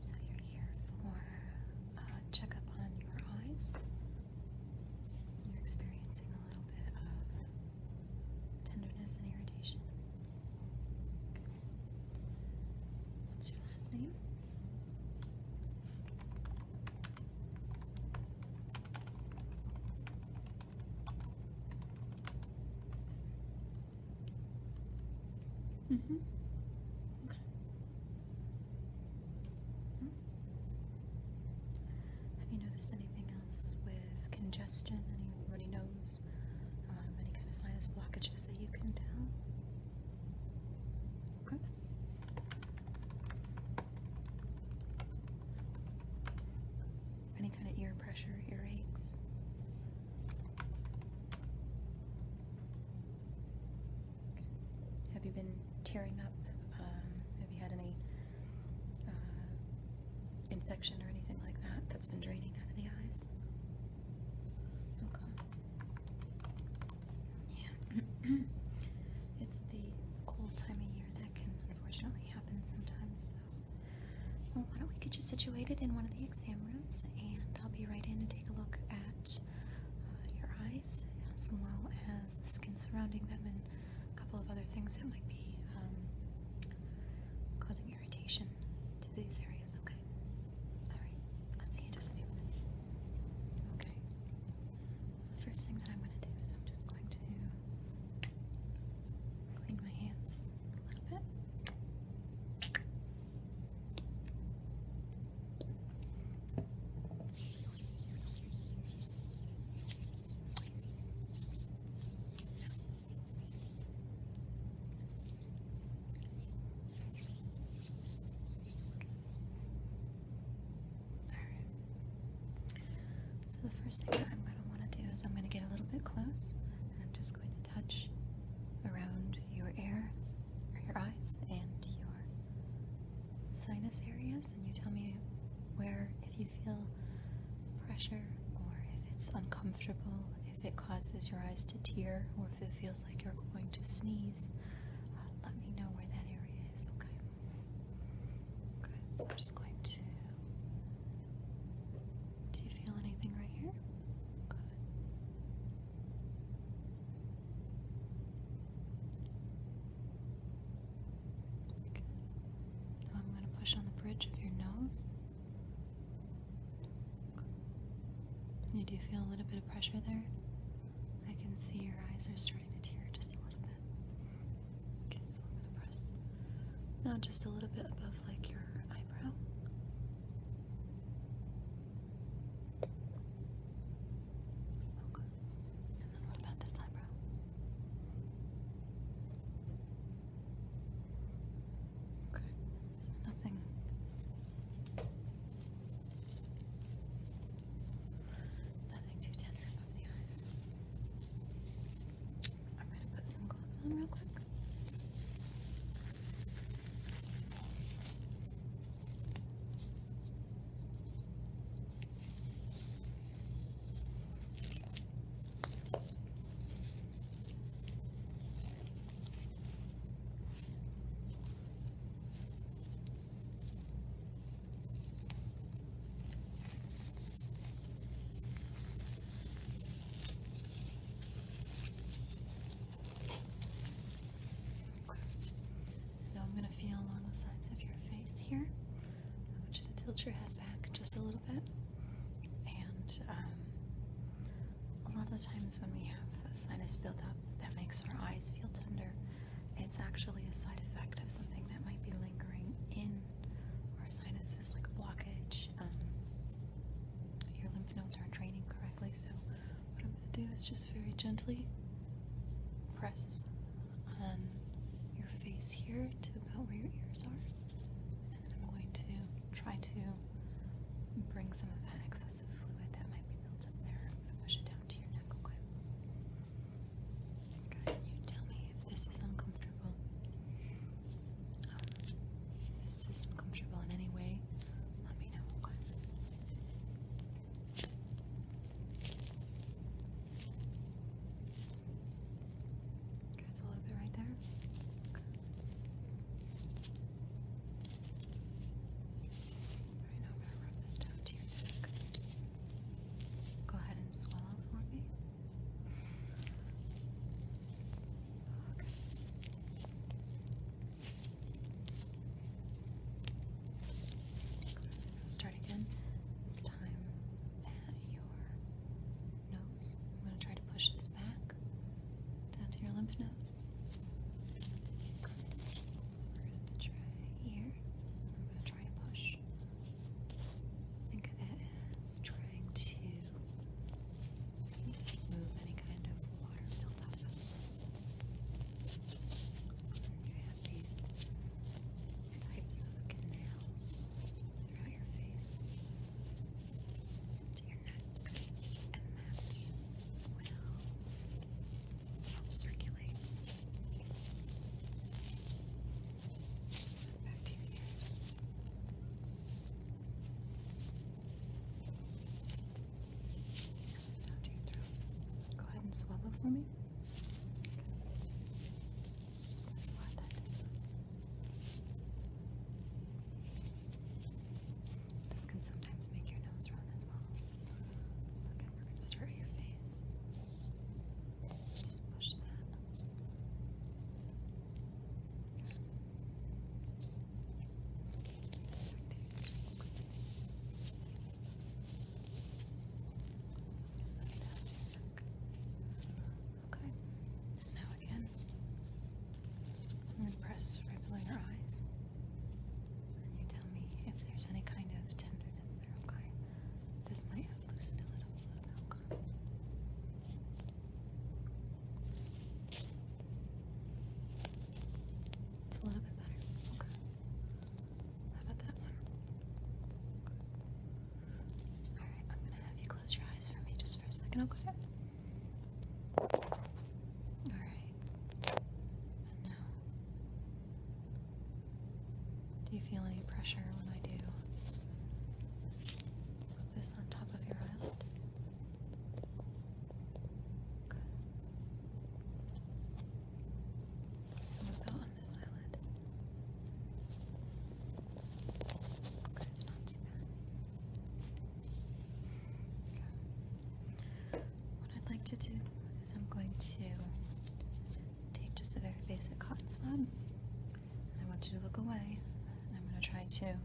So you're here for a uh, checkup on your eyes. You're experiencing a little bit of tenderness and irritation. What's your last name? Mm hmm Okay. Mm-hmm. Have you noticed anything else with congestion? Any runny nose? Um, any kind of sinus blockages that you can tell? Okay any kind of ear pressure, ear aches. Have you been tearing up? Um, have you had any uh, infection or anything like that that's been draining out of the eyes? Okay. Yeah. it's the cold time of year that can unfortunately happen sometimes. Well, why don't we get you situated in one of the exam rooms, and I'll be right in to take a look at uh, your eyes as well as the skin surrounding them and a couple of other things that might be um, causing irritation to these areas. Okay. All right. I'll see you in just a few minutes. Okay. First thing that I'm going to do is I'm just going to Clean my hands a little bit. All right. So the first thing that I'm going to want to do is I'm going to get a little bit close and I'm just going to touch around your ear or your eyes and your sinus areas and you tell me where if you feel pressure or if it's uncomfortable, if it causes your eyes to tear or if it feels like you're going to sneeze. Uh, let me know where that area is, okay? Okay, so I'm just going to do you feel anything right here? Now I'm going to push on the bridge of your nose. You do feel a little bit of pressure there? I can see your eyes are starting to tear just a little bit. Okay, so I'm gonna press now just a little bit above like your eyebrow. Okay. And then what about this eyebrow? Okay, nothing. Nothing too tender above the eyes. I'm gonna put some gloves on real quick. Now I'm going to feel along the sides of your face here. I want you to tilt your head back just a little bit. And um, a lot of the times when we have a sinus buildup that makes our eyes feel tender, it's actually a side effect of something that might be lingering in our sinuses, like a blockage um, your lymph nodes aren't draining correctly. So, what I'm going to do is just very gently press on your face here to about where your ears are. And I'm going to try to bring some of that excessive fluid that might be built up there. I'm going to push it down to your neck, okay? Okay, you tell me if this is uncomfortable. Um, if this is uncomfortable in any way, let me know. Okay. a little bit right there. Right now, I'm gonna rub this down to your neck. Go ahead and swallow for me. Start again. This time at your nose. I'm going to try to push this back down to your lymph nodes. Okay. So try here. I'm going to try to push. Think of it as trying to move any kind of water melt out of them. You have these types of canals throughout your face to your neck, and that will help circulate back to Go ahead and swallow for me. Just gonna slide that This can sometimes make your nose run as well. So we're gonna start at your face. Just push that. Okay, now again, I'm going to press right below her eyes. And you tell me if there's any kind of tenderness there, okay? This might have loosened a little bit, okay? It's a little bit better. Okay. How about that one? Alright, I'm gonna have you close your eyes for me just for a second, okay? Alright. And now. Do you feel any pressure when I do this on top of your eyelid. Good. about on this eyelid? Okay, it's not too bad. What I'd like to do is I'm going to take just a very basic cotton swab. I want you to look away. I'm going to try to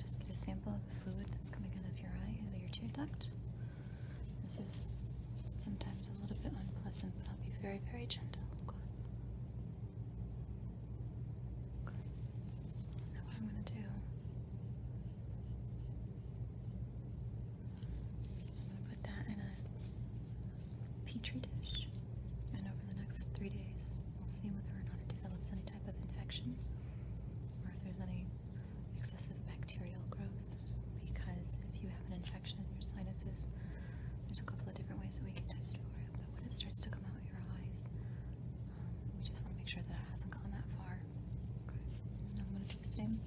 just get a sample of the fluid that's coming out of your eye, out of your tear duct. This is sometimes a little bit unpleasant, but I'll be very, very gentle. Now what I'm going to do is I'm going to put that in a petri dish, and over the next three days, We'll see whether or not it develops any type of infection or if there's any excessive bacterial growth. Because if you have an infection in your sinuses, there's a couple of different ways that we can test for it. But when it starts to come out your eyes, um, we just want to make sure that it hasn't gone that far. I'm going to do the same.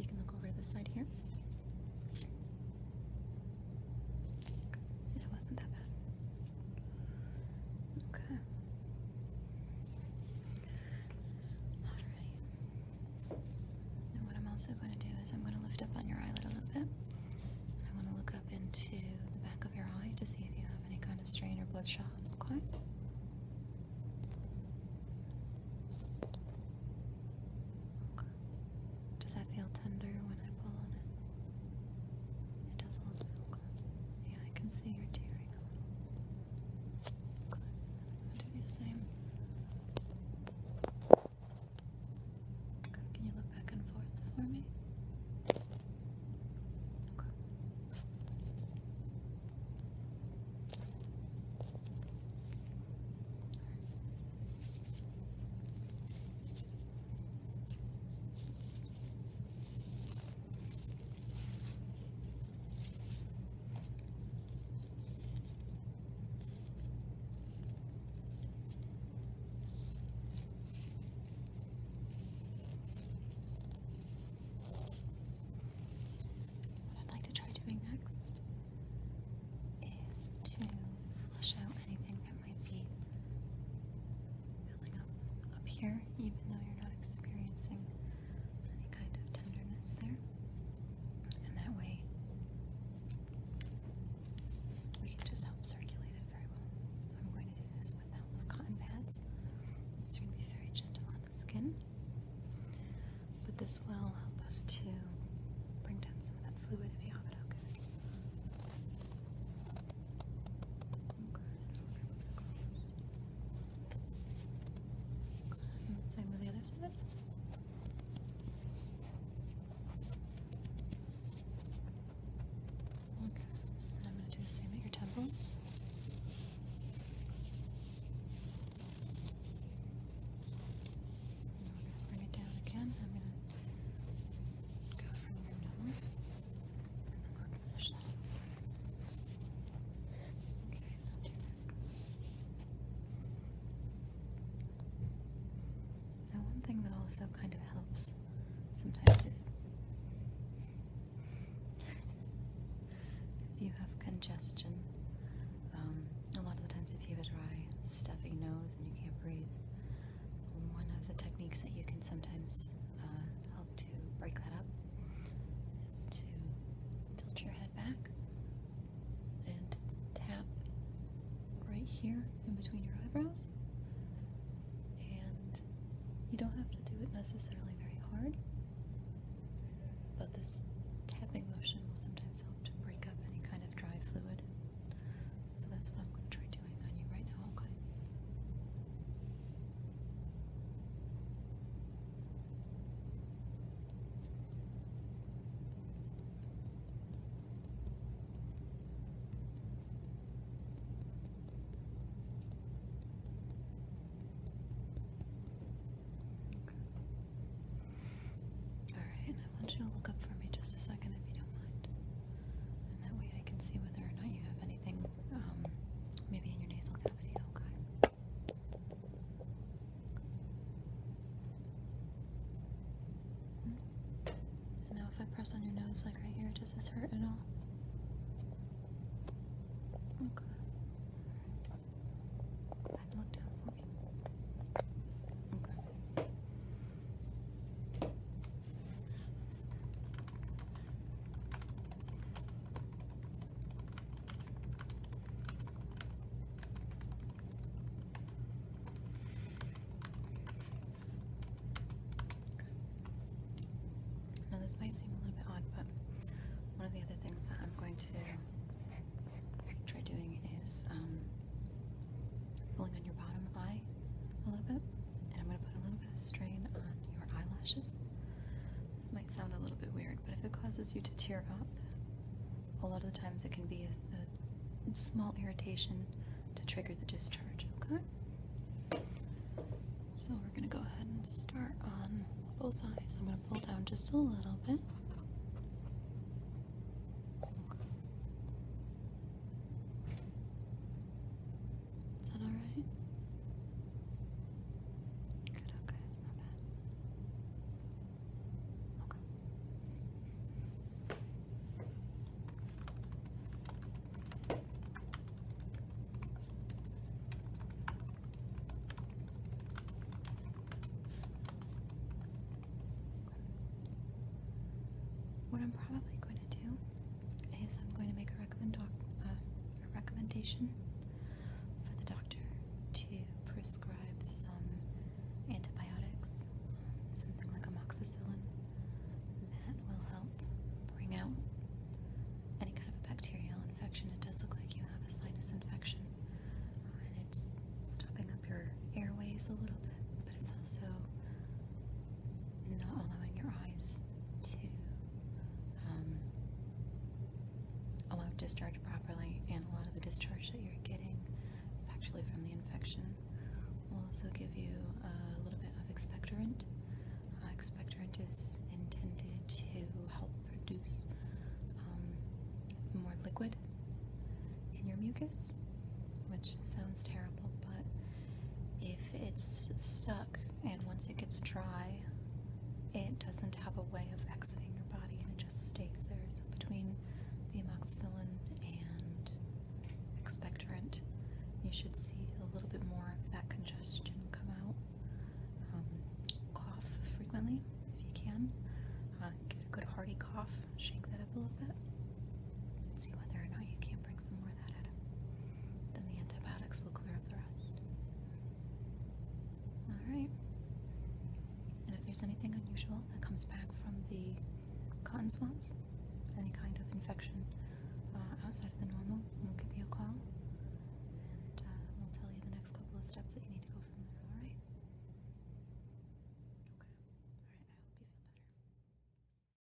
you can look over to the side here. See, that wasn't that bad. Okay. Alright. what I'm also going to do is I'm going to lift up on your eyelid a little bit. I want to look up into the back of your eye to see if you have any kind of strain or bloodshot. Okay. Does that feel tender when I pull on it? It does a little Yeah, I can see you're tearing do the same. can you look back and forth for me? What I'd like to try doing next is to flush out anything might be building up up here, even though you're not experiencing any kind of tenderness there. And that way, we can just help circulate it very well. I'm going to do this with the help of cotton pads. It's going to be very gentle on the skin, but this will help us to bring down some of that fluid if you have it. Okay. Same with the other side. Okay. And I'm going to do the same at your temples. bring it down again. I'm going to go from your nose now, one thing that also kind of helps sometimes if you have congestion, um, a lot of the times if you have a dry, stuffy nose and you can't breathe. One of the techniques that you can sometimes uh, help to break that up is to tilt your head back and tap right here in between your eyebrows. And you don't have to do it necessarily very hard, but this tapping motion will sometimes help to break up any kind of dry fluid so that's what I'm going to try doing on you right now, okay? Okay. All right, I want you to look up for me just a second if you don't mind and that way I can see whether or not you have anything, um, maybe in your nasal cavity, okay? Hmm? now if I press on your nose, like right here, does this hurt at all? Okay. Go ahead and look down for me. Okay. Now, this might seem a little bit odd, but one of the other things that I'm going to try doing is um, pulling on your bottom eye a little bit, and I'm going to put a little bit of strain on your eyelashes. This might sound a little bit weird, but if it causes you to tear up, a lot of the times it can be a, small irritation to trigger the discharge, okay? So we're going to go ahead and start on both eyes. I'm going to pull down just a little bit. Okay. Is that alright? Good, okay, it's not bad. Okay. What I'm probably going to do is I'm going to make uh, a, recommendation for the doctor to prescribe some antibiotics, something like amoxicillin, that will help bring out any kind of a bacterial infection. It does look like you have a sinus infection, and it's stopping up your airways a little bit but it's also not allowing your eyes to um, allow discharge properly, and a lot of the discharge that you're getting is actually from the infection. We'll also give you a little bit of expectorant. Uh, expectorant is intended to help produce um, more liquid in your mucus, which sounds terrible, but if it's stuck and once it gets dry, it doesn't have a way of exiting your body and it just stays there. So between the amoxicillin and expectorant, you should see a little bit more of that congestion come out. Um, cough frequently if you can. Uh, Get a good hearty cough, shake that up a little bit and see whether or not you can bring some more of that out of him. Then the antibiotics will clear up the rest. Alright. And if there's anything unusual that comes back from the cotton swabs, any kind of infection uh, outside of the normal, we'll give you a call and uh, we'll tell you the next couple of steps that you need to go from there, alright? Okay. Alright, I hope you feel better.